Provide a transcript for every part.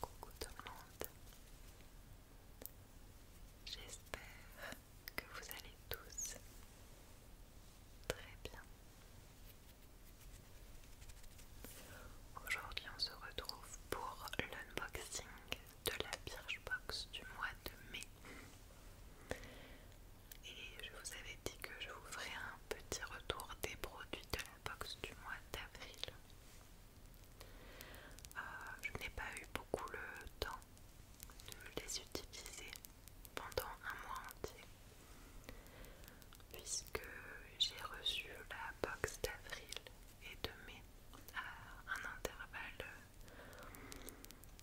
Coucou tout le monde, j'espère que vous allez tous très bien. Aujourd'hui on se retrouve pour l'unboxing de la Birchbox du mois de mai. Et je vous avais dit que je vous ferai un petit retour des produits de la box du mois d'avril. Euh, je n'ai pas eu beaucoup le temps de les utiliser pendant un mois entier puisque j'ai reçu la box d'avril et de mai à un intervalle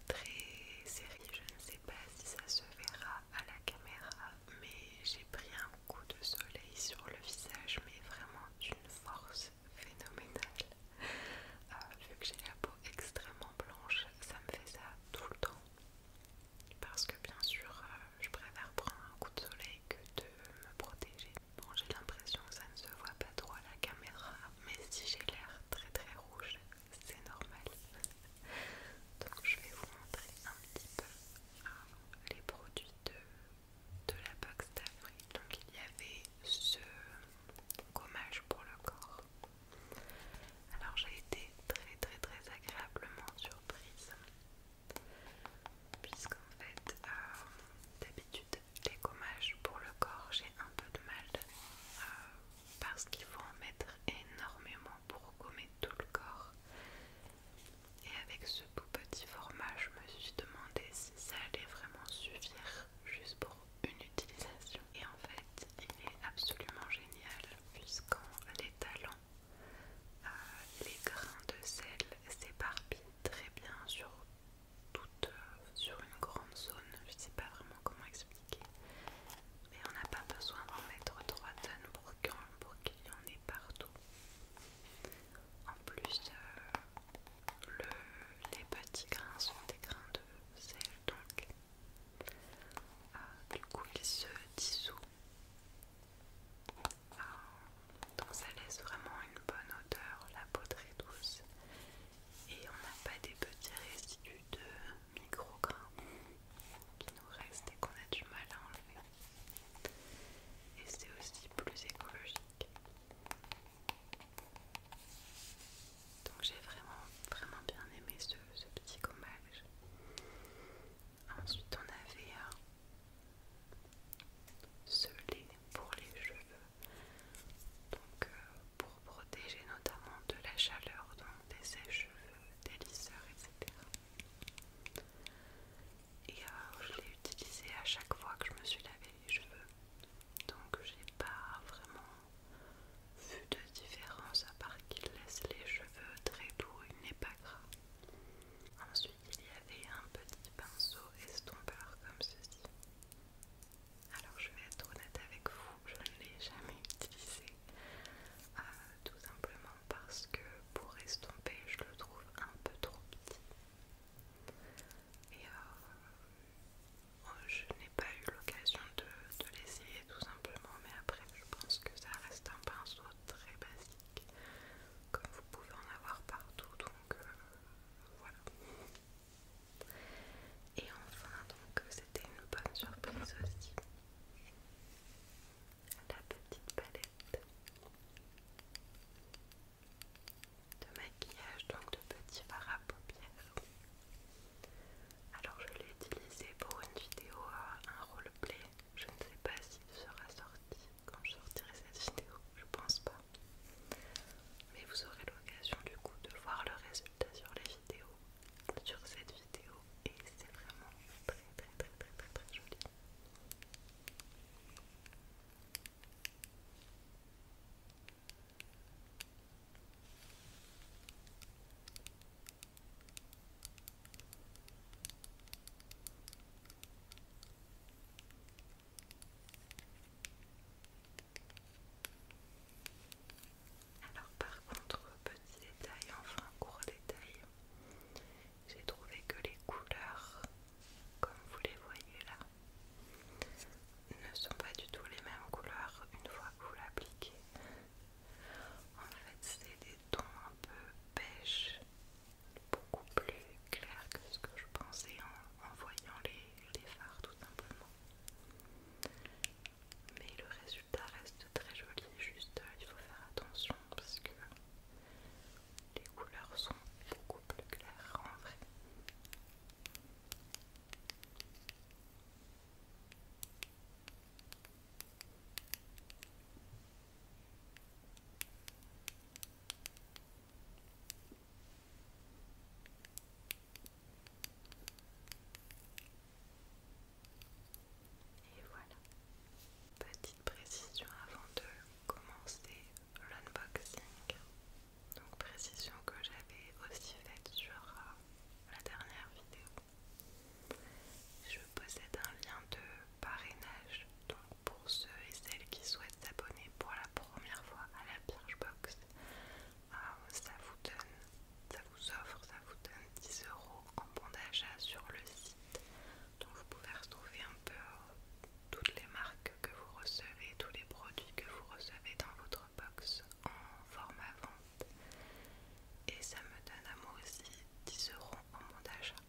très serré. Je ne sais pas si ça se verra à la caméra, mais j'ai pris un coup de soleil sur le visage, mais vraiment d'une force phénoménale. Euh, vu que j'ai la peau extrêmement blanche, ça me fait ça tout le temps. Parce que bien sûr, euh, je préfère prendre un coup de soleil que de me protéger. Bon, j'ai l'impression que ça ne se voit pas trop à la caméra, mais si j'ai l'air très très rouge, c'est normal. Donc je vais vous montrer un petit peu euh, les produits de, la box d'Afrique. Donc il y avait ce gommage pour le corps. Alors j'ai été très très très agréablement surprise. Puisqu'en fait, euh, d'habitude, les gommages pour le corps, j'ai un peu de mal euh, parce qu'il faut en mettre énormément pour gommer tout le corps. Et avec ce tout petit format, je me suis demandé si ça allait vraiment suffire juste pour une utilisation. Et en fait, il est absolument génial puisqu'en les euh, les grains de sel s'éparpillent très bien sur toute, euh, sur une grande zone. Je sais pas vraiment comment expliquer, et on n'a pas besoin d'en mettre 3 tonnes pour qu'il y en ait partout. En plus, euh, les petits grains sont des grains de sel, donc euh, du coup il se dissout. Ah, donc ça laisse vraiment une bonne odeur, la peau très douce. Et on n'a pas des petits résidus de micro qui nous reste et qu'on a du mal à enlever. Et c'est aussi plus écologique. Donc j'ai vraiment, vraiment bien aimé ce, petit gommage. Ensuite on avait euh, ce lait pour les cheveux. Donc euh, pour protéger notamment de la chaleur, donc des sèches-cheveux, des lisseurs, etc. Et euh, je l'ai utilisé à chaque fois que je me suis lavé les cheveux. Donc j'ai pas vraiment vu de différence à part qu'il laisse les cheveux très doux, il n'est pas gras. Ensuite il y avait un petit pinceau estompeur comme ceci. Alors je vais être honnête avec vous, je ne l'ai jamais utilisé. Euh, tout simplement parce que pour estomper, je le trouve un peu trop petit. Et euh, oh, je n'ai pas eu l'occasion de, l'essayer tout simplement, mais après je pense que ça reste un pinceau très basique, comme vous pouvez en avoir partout, donc euh, voilà. Et enfin, donc c'était une bonne surprise aussi la petite palette de maquillage, donc de petits fards à paupières. Alors je l'ai utilisé pour une vidéo, à euh, un roleplay. Je ne sais pas s'il sera sorti quand je sortirai cette vidéo, je pense pas. Mais vous aurez l'occasion du coup de voir le résultat sur les vidéos sur cette vidéo et c'est vraiment très très très très très très joli. Alors par contre, petit détail, enfin court détail, j'ai trouvé que les couleurs, comme vous les voyez là, ne sont pas du tout les mêmes couleurs une fois que vous l'appliquez. En fait, c'est des tons un peu beige, beaucoup plus clairs que ce que je pensais en, voyant les, les phares tout simplement. Mais le résultat reste très joli, juste euh, il faut faire attention parce que les couleurs sont beaucoup plus claires en vrai. Et voilà. Petite précision avant de commencer l'unboxing. Donc précision que j'avais aussi faite sur euh, la dernière vidéo. Je possède un lien de parrainage. Donc pour ceux et celles qui souhaitent s'abonner pour la première fois à la Birchbox, Ah, ça vous donne, offre, ça vous donne 10 euros en bon d'achat sur le site. Donc vous pouvez retrouver un peu euh, toutes les marques que vous recevez, tous les produits que vous recevez dans votre box en à vente. Et ça me donne à moi aussi 10 euros en bon d'achat.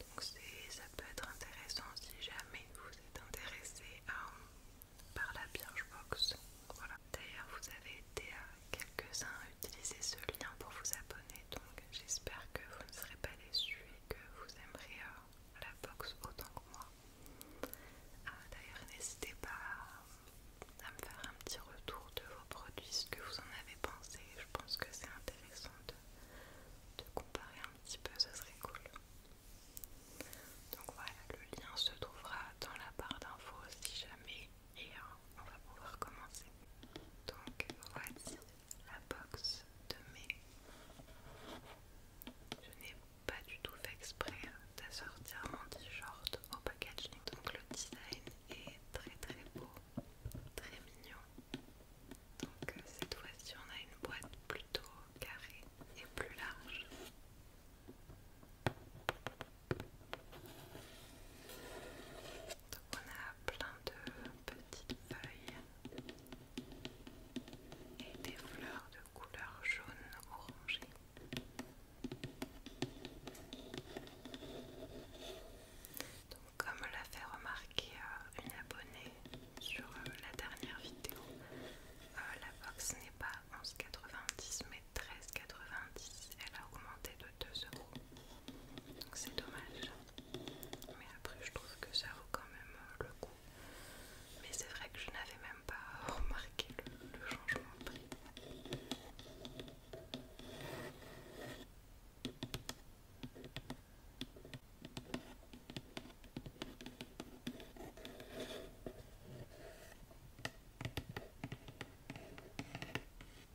Donc ça peut être intéressant si jamais vous êtes intéressé par la box Voilà. D'ailleurs, vous avez été quelques-uns à utiliser ce lien pour vous abonner, donc j'espère que vous ne serez pas déçus et que vous aimerez euh, la box autant que moi. Ah, d'ailleurs, n'hésitez pas à, me faire un petit retour de vos produits, ce que vous en avez pensé. Je pense que c'est intéressant de comparer un petit peu, ce serait cool. Donc voilà, le lien se trouvera dans la barre d'infos si jamais et euh, on va pouvoir commencer. Donc voici la box de mai. Je n'ai pas du tout fait exprès de sortir mon t-shirt au packaging. Donc le design est très très beau, très mignon. Donc euh, cette fois-ci on a une boîte plutôt carrée et plus large. Donc on a plein de petites feuilles et des fleurs de couleur jaune orangé. Donc comme l'a fait remarquer euh, une abonnée sur euh, la dernière vidéo, euh, la box n'est pas 11,90 mais 13,90. Elle a augmenté de 2 euros. Donc c'est dommage. Mais après je trouve que ça vaut quand même euh, le coup. Mais c'est vrai que je n'avais même pas remarqué le changement de prix.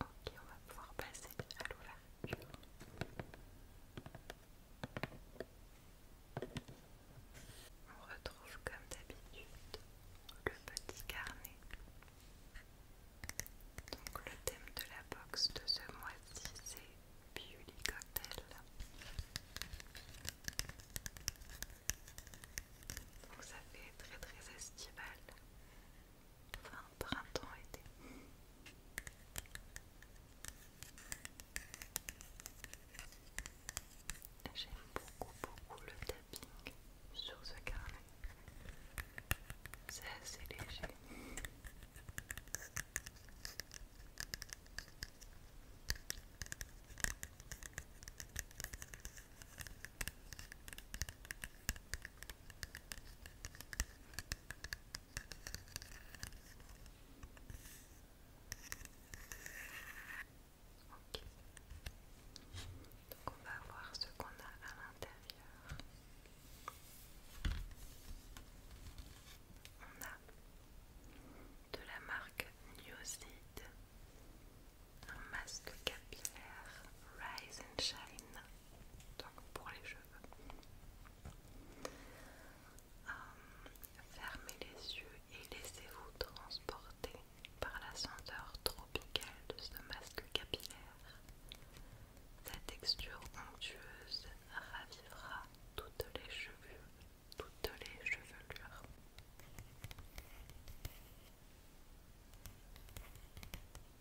Ok, on va pouvoir passer à l'ouverture. On retrouve comme d'habitude le petit carnet. Donc le thème de la box de ce mois-ci c'est Beauty Donc ça fait très très estival. Enfin, printemps-été. J'aime beaucoup, beaucoup le tapping sur ce carnet. C'est assez léger. Donc on va voir ce qu'on a à l'intérieur. On a de la marque Newseed, un masque capillaire Rise and Shine donc pour les cheveux. Euh, fermez les yeux et laissez-vous transporter par la senteur tropicale de ce masque capillaire. Sa texture onctueuse ravivra toutes les cheveux, toutes les chevelures. Ok.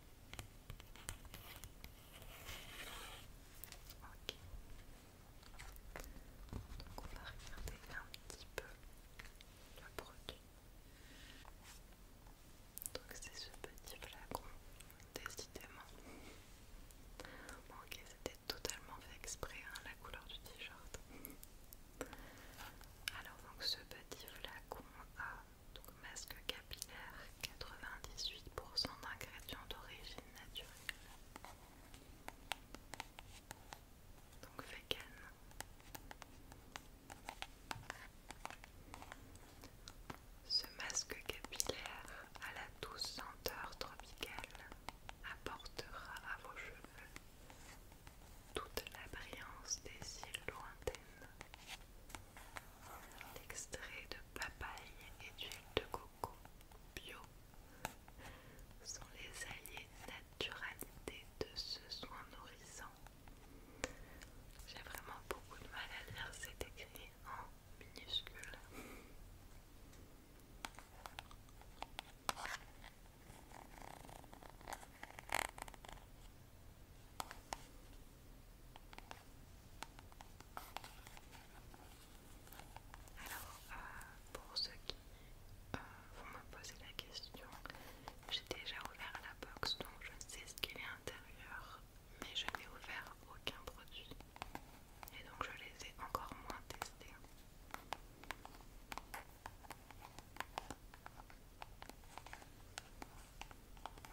Donc on va regarder un petit peu le produit. Donc c'est ce petit flacon, décidément. Bon, ok, c'était totalement fait exprès hein, la couleur du t-shirt. Alors donc ce petit flacon a donc masque capillaire, 98% d'ingrédients d'origine naturelle. Donc vegan. Ce masque capillaire à la douce senteur tropicale apportera à vos cheveux toute la brillance des îles lointaines L'extrait de papaye et d'huile de coco bio sont les alliés de naturalité de ce soin nourrissant. J'ai vraiment beaucoup de mal à lire, c'est écrit en minuscules. Alors, euh, pour ceux qui euh, vont me poser la question, j'ai déjà ouvert la box donc je sais ce qu'il y a à l'intérieur, mais je n'ai ouvert aucun produit et donc je les ai encore moins testés.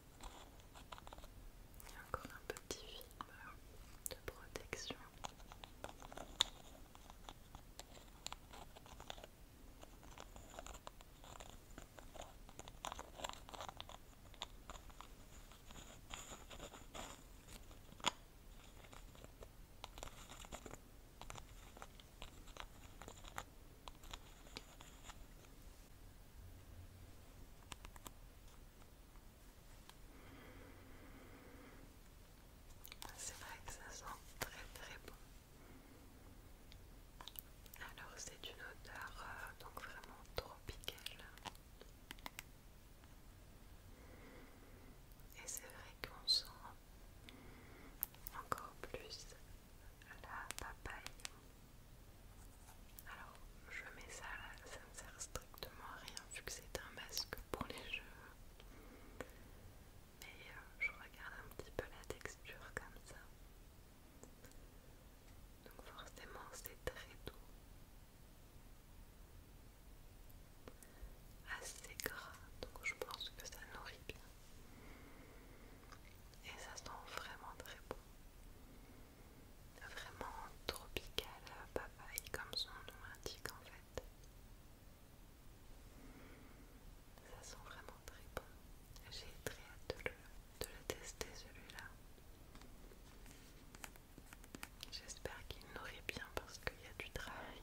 Il y a encore un petit film de protection. Ah, c'est vrai que ça sent très très bon. Alors c'est une odeur euh, donc vraiment tropicale. Et c'est vrai qu'on sent encore plus la papaye. Alors, je mets ça là, ça ne sert strictement à rien vu que c'est un masque pour les jeux. Mais euh, je regarde un petit peu la texture comme ça. Donc forcément c'est très doux. Assez gras, donc je pense que ça nourrit bien. Et ça sent vraiment très bon. Vraiment tropical euh, papaye comme son nom indique en fait. Ça sent vraiment très bon. J'ai très hâte de le, de le tester celui-là. J'espère qu'il nourrit bien parce qu'il y a du travail.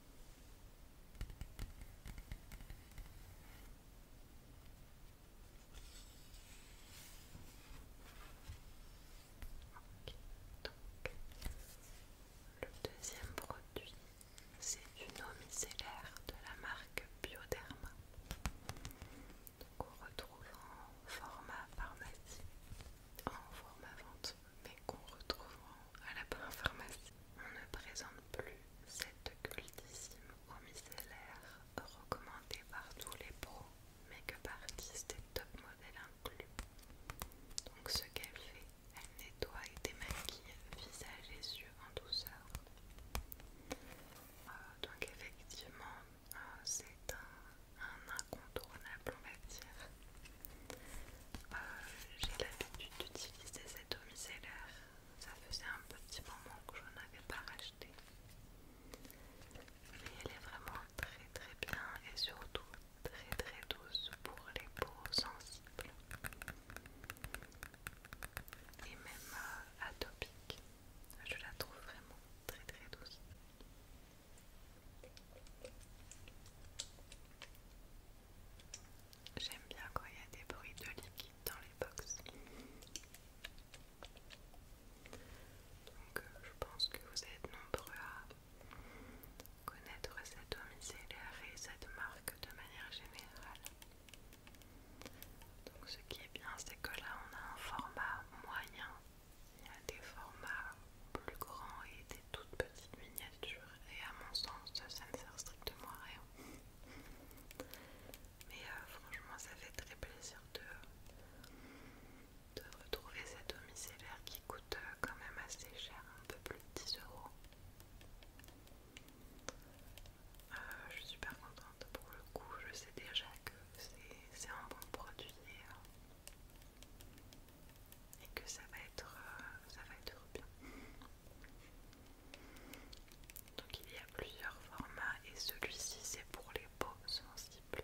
donc le deuxième produit, c'est une eau micellaire de la marque Bioderma. qu'on on retrouve en format pharmacie, en format vente, mais qu'on retrouve à la pharmacie on ne présente plus cette cultissime eau micellaire recommandée par tous les pros, mais que artistes et top modèles inclus. Donc ce qu'elle fait, elle nettoie et démaquille visage et yeux en douceur. Euh, donc effectivement, euh, c'est un, incontournable on va dire. Euh, j'ai l'habitude d'utiliser cette micellaire. Ça faisait un petit moment que je n'avais pas racheté. Mais elle est vraiment très très bien et surtout très très douce pour les peaux sensibles. Et même euh, atopiques, Je la trouve vraiment très très douce. J'aime bien quand il y a des bruits de liquide dans les box. Donc euh, je pense que vous êtes nombreux à connaître cette domiciliaire et cette marque de manière générale. Donc ce qui est bien c'est que là on a un format moyen. Il y a des formats plus grands et des toutes petites miniatures et à mon sens ça ne sert strictement à rien. Mais euh, franchement, ça fait très plaisir de, de retrouver cet micellaire qui coûte euh, quand même assez cher, un peu plus de 10 euros. Euh, je suis super contente pour le coup, je sais déjà que c'est un bon produit et, que ça va être, ça va être bien. Donc il y a plusieurs formats et celui-ci c'est pour les peaux sensibles.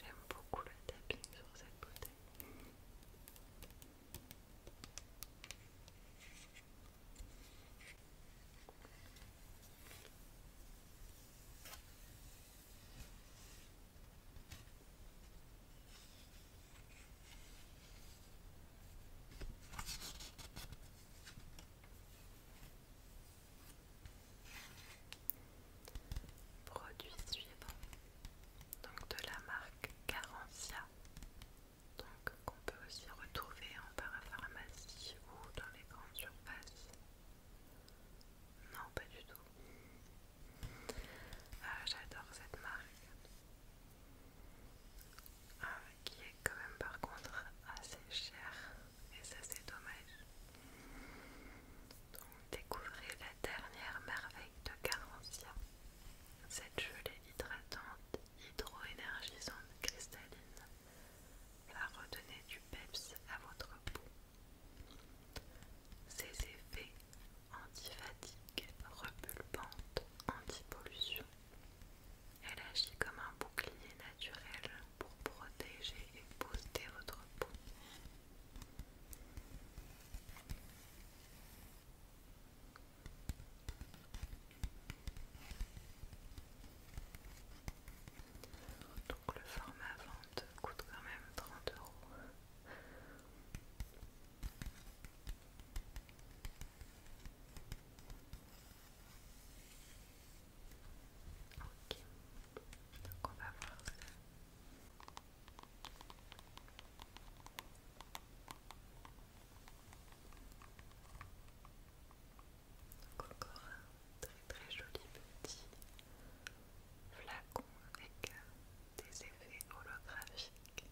J'aime beaucoup le tapping sur cette bouteille. Produit suivant donc de la marque Carencia, donc qu'on peut aussi retrouver en parapharmacie ou dans les grandes surfaces. Non, pas du tout. Ah, j'adore cette marque, ah, qui est quand même par contre assez chère, et ça c'est dommage. Donc découvrez la dernière merveille de Carencia. Cette gelée hydratante, hydroénergisante, cristalline va redonner du peps à votre peau. Ses effets antifatigue, repulpantes, antipollution. Elle agit comme un bouclier naturel pour protéger et booster votre peau. Donc le format vente coûte quand même 30 euros. Ok, donc on va voir ça encore un très très joli petit flacon avec des effets holographiques.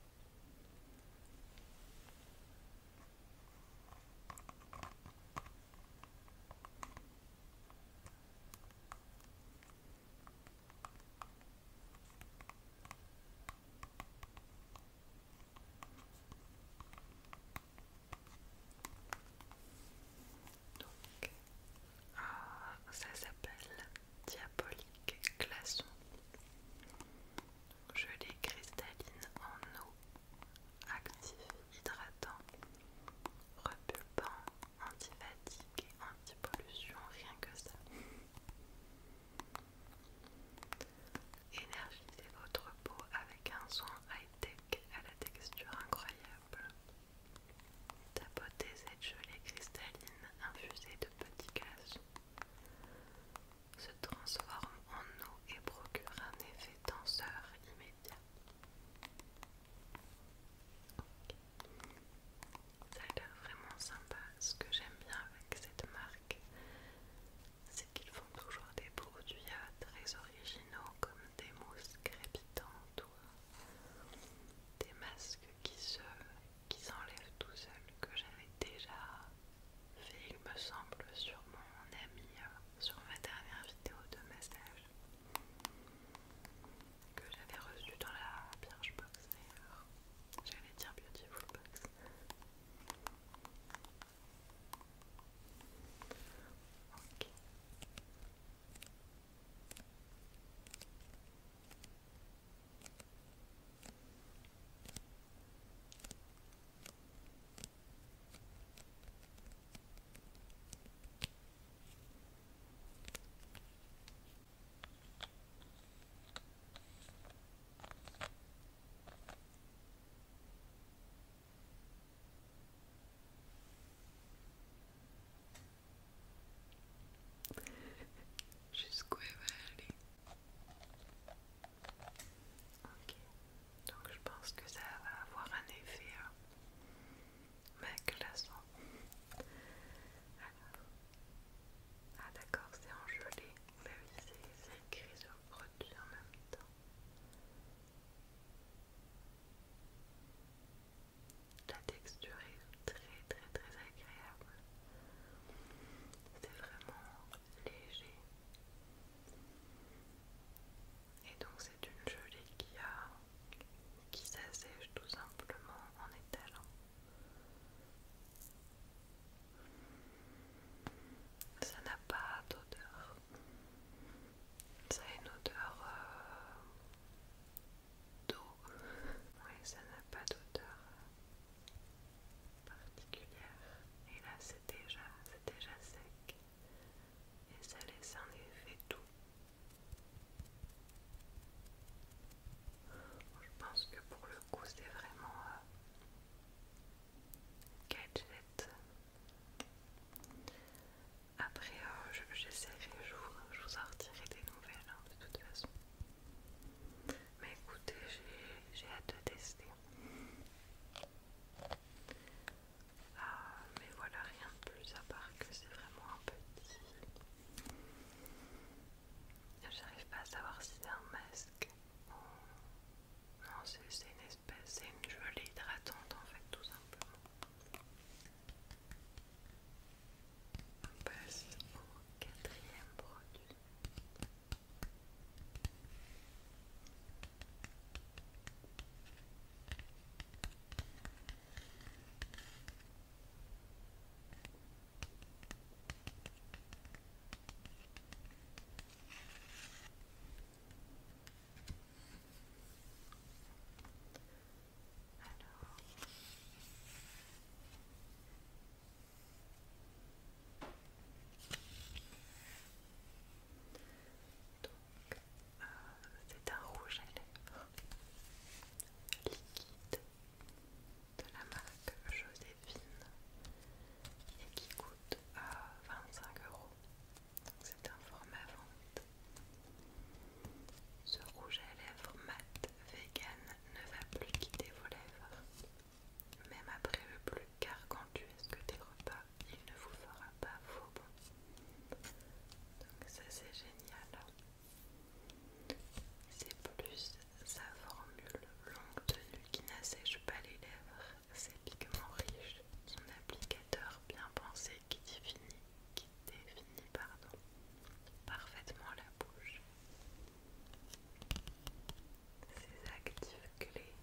Donc, ah, ça s'appelle diabolique glaçon. Gelée cristalline en eau, actif, hydratant, repulpant, anti-fatigue et pollution rien que ça. Énergisez votre peau avec un soin high-tech à la texture incroyable. Tapotez cette gelée cristalline infusée de petits gaz Se transforme en eau et procure un effet tenseur immédiat. Ça a l'air vraiment sympa. Ce que j'aime bien avec cette marque, c'est qu'ils font toujours des produits euh, très originaux comme des mousses crépitantes ou euh, des masques qui s'enlèvent qui tout seuls que j'avais déjà fait, il me semble, sur mon ami, euh, sur ma dernière vidéo de massage que j'avais reçu dans la Birchbox J'allais dire Beautiful Box. Jusqu'où elle va aller Ok, donc je pense que ça va avoir un effet mec, la son. Ah d'accord, c'est en gelée. Bah oui, c'est écrit sur le produit en même temps. La texture est très très très agréable. C'est vraiment léger. Et donc c'est une gelée qui qui s'assèche tout simplement en étalant. Ça n'a pas d'odeur. Ça a une odeur euh, d'eau. ça n'a pas d'odeur euh, particulière. Et là, c'est déjà, déjà sec. Et ça laisse en effet tout Je pense que pour le coup c'est vraiment A euh, gadget. Après euh, j'essaierai, je, je vous en retirerai des nouvelles hein, de toute façon. Mais écoutez, j'ai hâte de tester. Ah, mais voilà, rien de plus à part que c'est vraiment un petit J'arrive pas à savoir si c'est un masque ou. Non, c'est une espèce, c'est une gelée hydratante en fait, tout simplement. On passe au quatrième produit. Euh, c'est un rouge à lèvres liquide de la marque Joséphine et qui coûte à euh, 25 euros. C'est un format vente. Ce rouge à lèvres mat vegan ne va plus quitter vos lèvres. Même après le plus gargantuesque des repas, il ne vous fera pas faux bon. Donc ça c'est génial. C'est plus sa formule longue tenue qui n'assèche pas les lèvres, ses pigments riches, son applicateur bien pensé qui définit, parfaitement la bouche. Ses actifs clés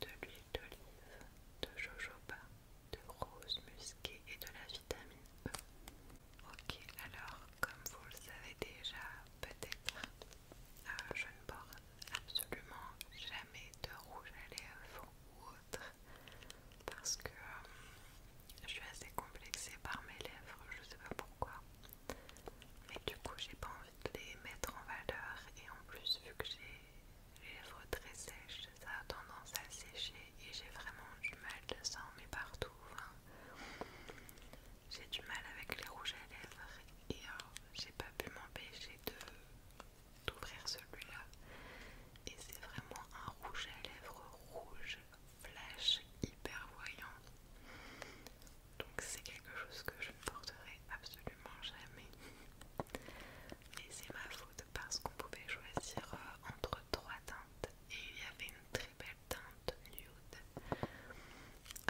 de l'huile d'olive, de jojoba, de rose musquée et de la vitamine E Ok, alors comme vous le savez déjà peut-être, euh, je ne porte absolument jamais de rouge à lèvres ou autre parce que euh, je suis assez complexée par mes lèvres, je sais pas pourquoi. Mais du coup j'ai pas envie de les mettre en valeur et en plus vu que j'ai les lèvres très sèches, ça a tendance à sécher et j'ai vraiment du mal, ça sang mais partout. J'ai du mal avec les rouges à lèvres et euh, j'ai pas pu m'empêcher d'ouvrir celui-là. Et c'est vraiment un rouge à lèvres rouge flash hyper voyant. Donc c'est quelque chose que je ne porterai absolument jamais. Et c'est ma faute parce qu'on pouvait choisir euh, entre trois teintes et il y avait une très belle teinte nude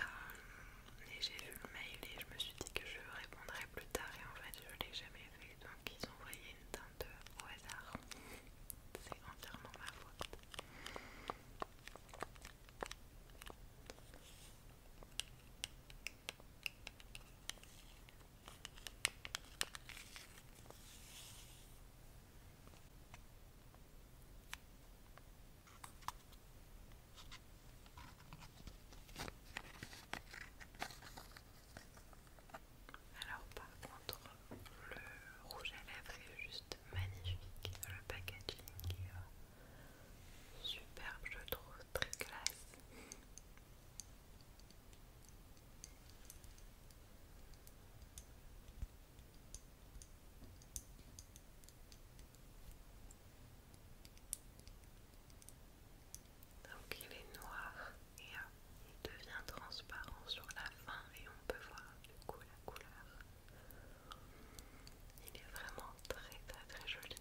euh, et j'ai vu le mail et je me suis dit que je répondrais plus tard et en fait je l'ai jamais fait donc ils ont envoyé une teinte au hasard. C'est entièrement ma faute. Alors par contre le rouge à lèvres est juste magnifique, le packaging est euh, superbe je trouve, très classe. Donc il est noir et euh, il devient transparent sur la fin et on peut voir du coup la couleur. Il est vraiment très très très joli.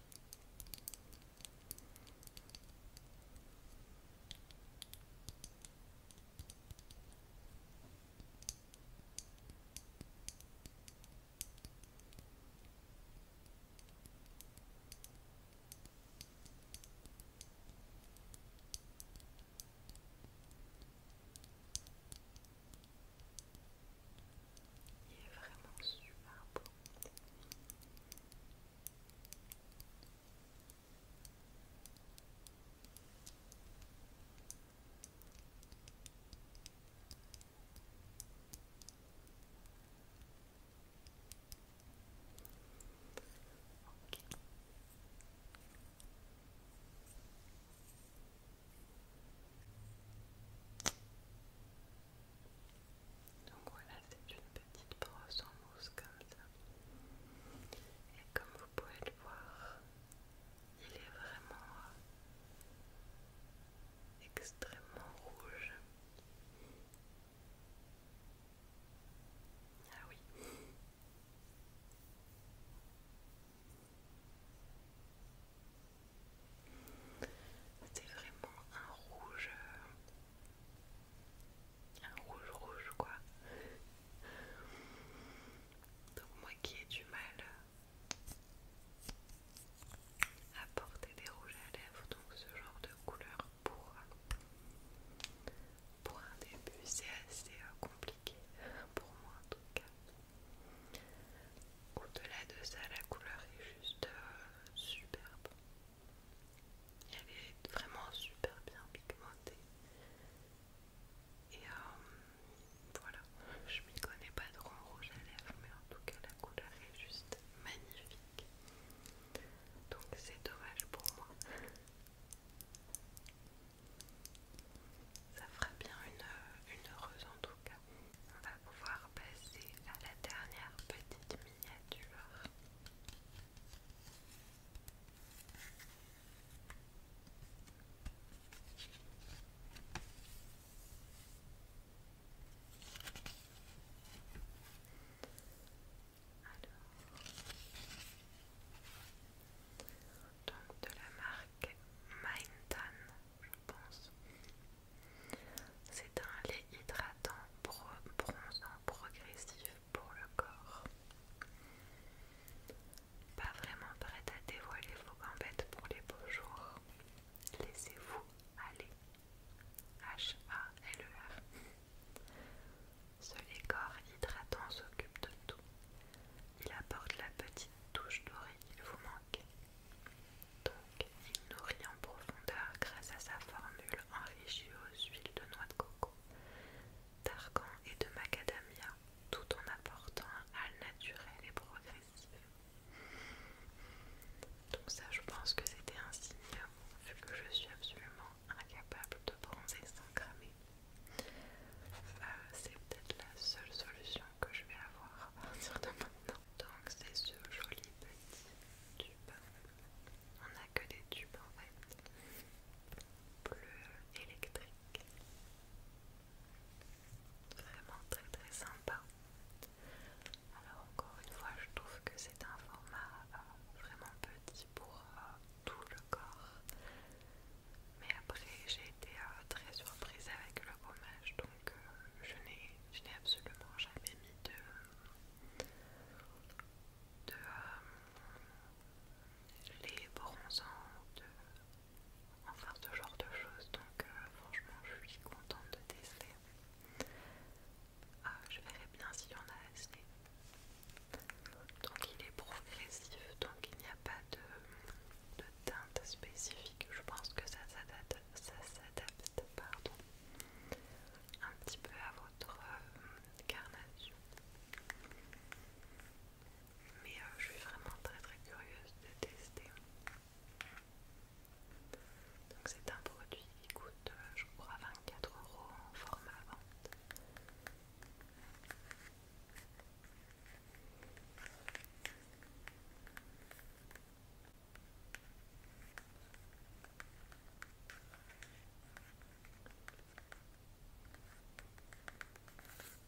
Il est vraiment super beau. Donc voilà, c'est une petite brosse en mousse comme ça. Et comme vous pouvez le voir, il est vraiment extrêmement rouge. Ah oui. C'était vraiment un rouge. Un rouge rouge quoi qui a du mal à porter des rouges à lèvres, donc ce genre de couleur pour, pour un début c'est assez euh, compliqué pour moi en tout cas. Au-delà de ça, la couleur est juste euh, superbe. Elle est vraiment super bien pigmentée. Et euh, voilà, je m'y connais pas trop en rouge à lèvres, mais en tout cas la couleur est juste magnifique. Donc c'est dommage pour moi. Ça fera bien une, euh, une heureuse en tout cas. On va pouvoir passer à la dernière petite miniature donc de la marque Tan, je pense. C'est un lait hydratant bronzant progressif pour le corps. Pas vraiment prête à dévoiler vos gambettes pour les beaux jours. Laissez-vous aller. H-A-L-E-R. Seul les hydratant s'occupe de tout. Il apporte la petite touche dorée qu'il vous manque. Donc, il nourrit en profondeur grâce à sa formule enrichie aux huiles de noix de coco, d'argan et de macadamia tout en apportant un naturel et progressif. Donc ça je pense que c'était un signe vu que je suis absolument incapable de bronzer sans cramer. Euh, c'est peut-être la seule solution que je vais avoir à partir de maintenant. Donc c'est ce joli petit tube. On n'a que des tubes en fait. Bleu électrique. Vraiment très très sympa. Alors encore une fois, je trouve que c'est un format euh, vraiment petit pour euh, tout le corps. Mais après, j'ai été euh, très surprise avec le fromage donc je n'ai absolument jamais mis de, de bronzant, les de enfin faire ce genre de choses donc euh, franchement je suis contente de tester ah, je verrai bien s'il y en a assez donc il est progressif donc il n'y a pas de, teinte spécifique je pense que ça s'adapte ça s'adapte pardon un petit peu à votre euh, carnage mais euh, je suis vraiment très très curieuse de tester. Donc c'est un produit qui coûte euh, je crois 24 euros en format vente.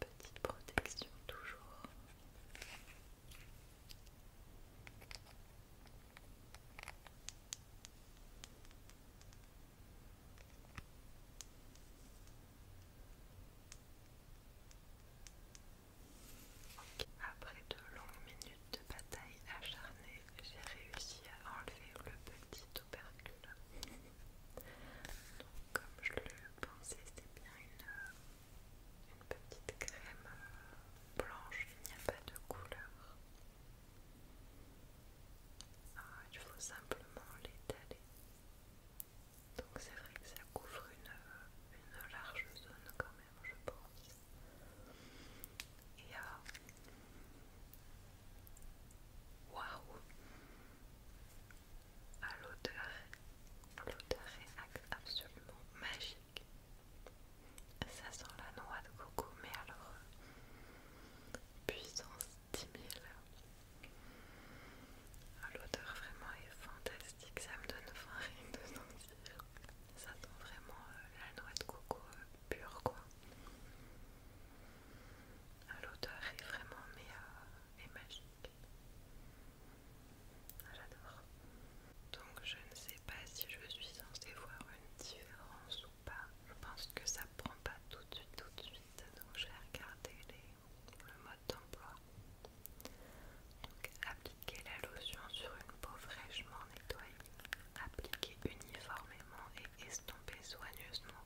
petite protection toujours. Après de longues minutes de bataille acharnée, j'ai réussi à enlever le petit opercule. comme je le pensais, c'était bien une petite crème blanche, il n'y a pas de couleur. Ah, il faut simplement l'étaler. Donc c'est vrai que ça couvre une, une large zone quand même, je pense. Et euh, waouh ah, L'odeur l'odeur est absolument magique. Ça sent la noix de coco, mais alors puissance 10 000. Ah, l'odeur vraiment est fantastique, ça me donne rien de sentir, Ça sent vraiment euh, la noix de coco euh, pure quoi. Ah, l'odeur est vraiment mais et euh, magique. Ah, j'adore. Donc je ne sais pas si je suis censée voir une différence je pense que ça prend pas tout de suite, Donc j'ai regardé les, le mode d'emploi. appliquer la lotion sur une peau fraîchement nettoyée. Appliquer uniformément et estomper soigneusement.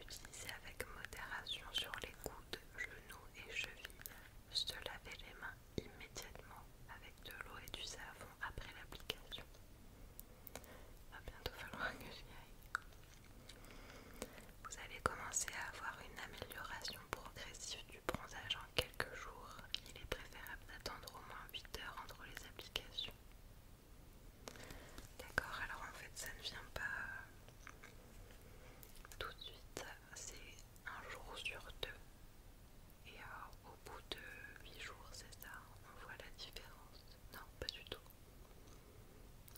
Utiliser avec modération sur les coudes, genoux et chevilles. Se laver les mains immédiatement avec de l'eau et du savon après l'application. Va bientôt falloir que j'y aille. Vous allez commencer à avoir une amélioration progressive du bronzage en quelques jours. Il est préférable d'attendre au moins 8 heures entre les applications. D'accord, alors en fait ça ne vient pas tout de suite, c'est un jour sur deux. Et alors euh, au bout de 8 jours, c'est ça, on voit la différence. Non, pas du tout.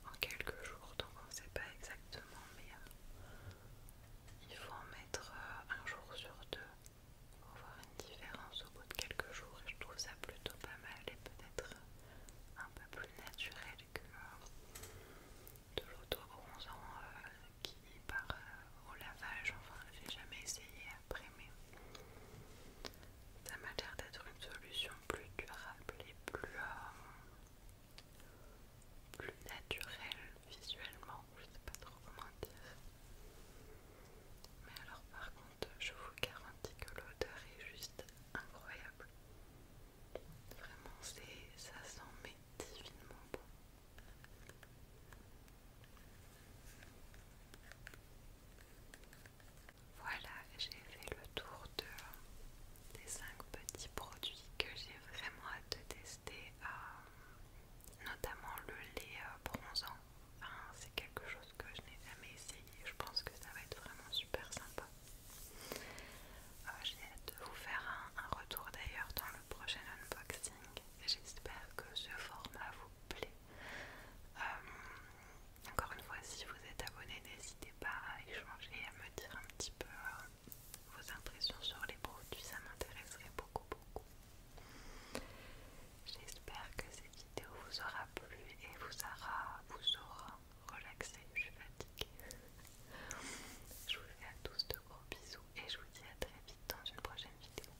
En quelques jours, donc on ne sait pas exactement, mais euh, il faut en mettre euh, un jour sur deux pour voir une différence au bout de quelques jours. Et je trouve ça plutôt pas mal et peut-être euh, un peu plus naturel que de l'auto-bronzant qui part au lavage. Enfin, j'ai jamais essayé après, mais ça m'a l'air d'être une solution plus durable et plus, euh, plus naturelle visuellement. Je sais pas trop comment dire. Mais alors, par contre, je vous garantis que l'odeur est juste incroyable. Vraiment, ça sent mais divinement bon. Voilà, j'ai fait le tour des 5 petits produits que j'ai vraiment hâte de tester, euh, notamment le lait euh, bronzant. C'est quelque chose que je n'ai jamais essayé, je pense que ça va être vraiment super sympa. Euh, j'ai hâte de vous faire un retour d'ailleurs dans le prochain unboxing. J'espère que ce format vous plaît. Euh, encore une fois, si vous êtes abonné, n'hésitez pas à échanger et à me dire un petit peu euh, vos impressions sur les produits, ça m'intéresserait beaucoup, beaucoup. J'espère que cette vidéo vous aura plu et vous aura, vous aura relaxé. Je suis fatiguée. Je vous fais à tous de gros bisous et je vous dis à très vite dans une prochaine vidéo.